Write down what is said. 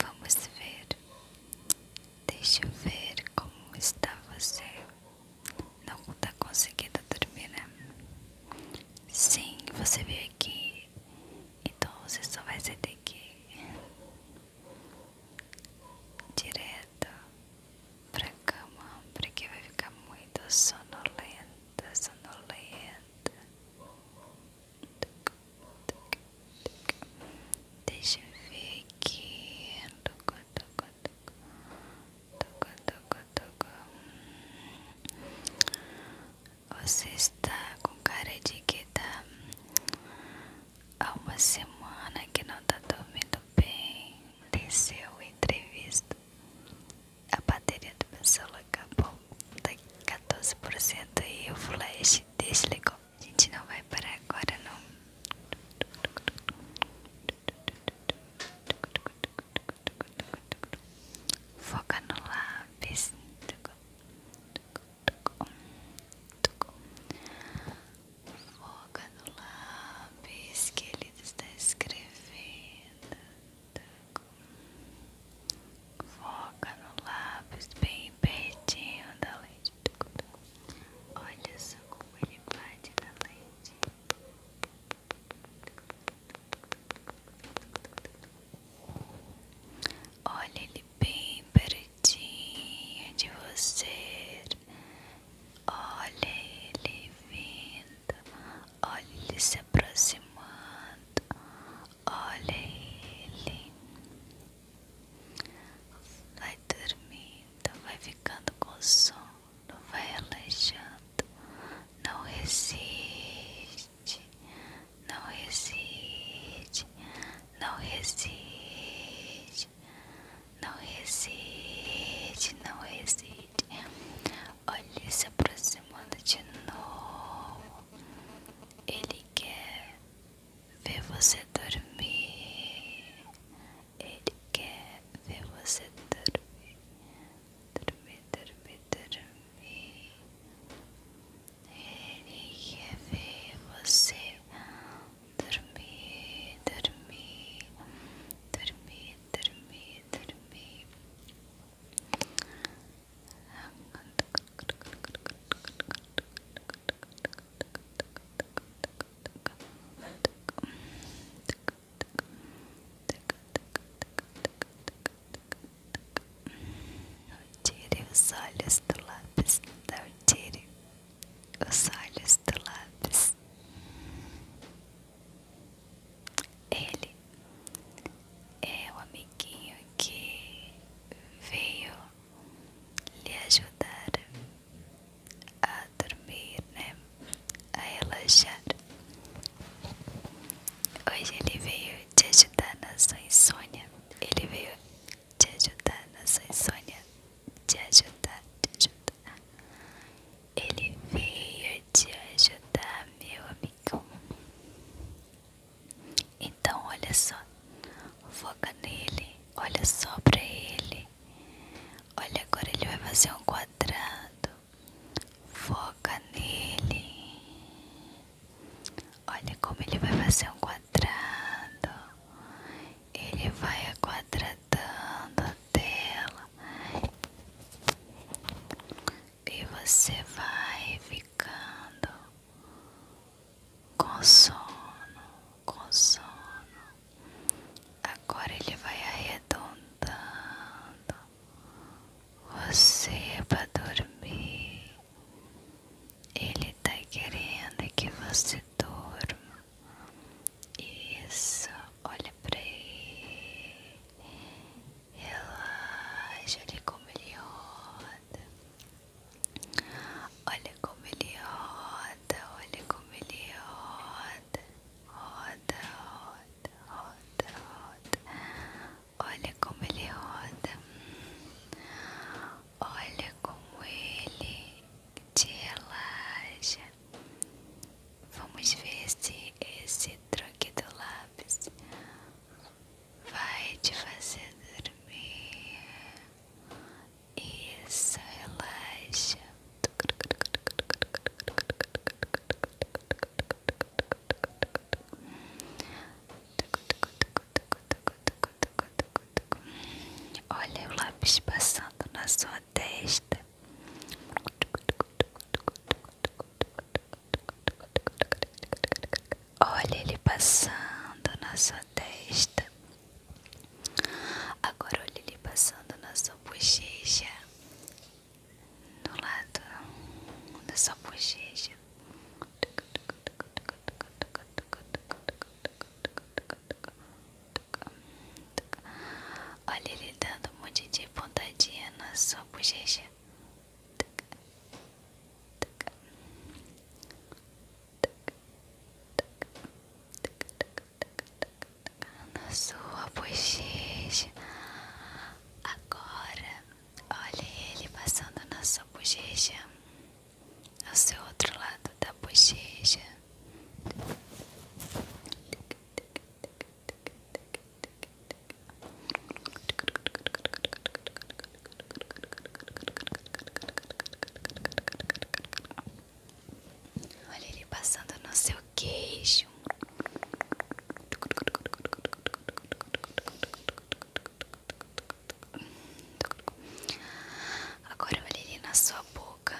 Vamos ver. Deixa eu ver como está você. Não está conseguindo dormir, né? Sim, você veio aqui. Então você só vai sair daqui. Direto para a cama, porque vai ficar muito sonolenta, sonolenta. Deixa eu ver aqui. Toco, toco, toco. Toco, toco, toco. Você está com cara de que tá há uma semana que não está dormindo bem. Desceu a entrevista. A bateria do meu celular acabou. Tá 14% e o flash desligou. A gente não vai parar agora, não. Foca no lápis. Foca no lápis que ele está escrevendo. Foca no lápis bem pertinho da lente. Olha só como ele bate na lente. Olha ele bem pertinho de você. Olha ele vindo. Olha ele se aproximando. Olha ele. Vai dormindo, vai ficando com sono, vai relaxando. Não resiste, não resiste, não resiste, não resiste, não resiste. Olha ele se aproximando de novo. Ele quer ver você dormir. Ele quer ver você dormir. Dormir, dormir, dormir. Ele quer ver você dormir, dormir, dormir, dormir, dormir. Tire os olhos do lápis, não tire os olhos do lápis. Ele é o amiguinho que veio lhe ajudar a dormir, né? A relaxar. Hoje ele veio te ajudar na sua insônia. Ele veio te ajudar na sua insônia. Te ajudar, te ajudar. Ele veio te ajudar, meu amigo. Então olha só, foca nele, olha só pra ele. Olha agora ele vai fazer um quadrado. Foca nele. Olha como ele vai fazer um quadrado. Ele vai aquadradando a tela. E você vai ficando com sono, com sono. Agora ele vai arredondando você é para dormir. Ele tá querendo que você durma. Isso, olha para ele. Relaxa, olha como ele roda. Olha como ele roda, olha como ele roda, roda, roda, roda, roda. Olha como ele roda. Olha como ele te relaxa. Vamos ver se esse troque do lápis vai te fazer dormir. Isso, relaxa. Olha o lápis passando na sua testa. Olha ele passando na sua testa. Agora olha ele passando na sua bochecha. Do lado da sua bochecha. Olha ele dando um monte de pontadinha na sua bochecha na sua bochecha. Agora, olha ele passando na sua bochecha, no seu outro lado da bochecha. Olhe ele passando no seu queixo. Agora olhe ele na sua boca.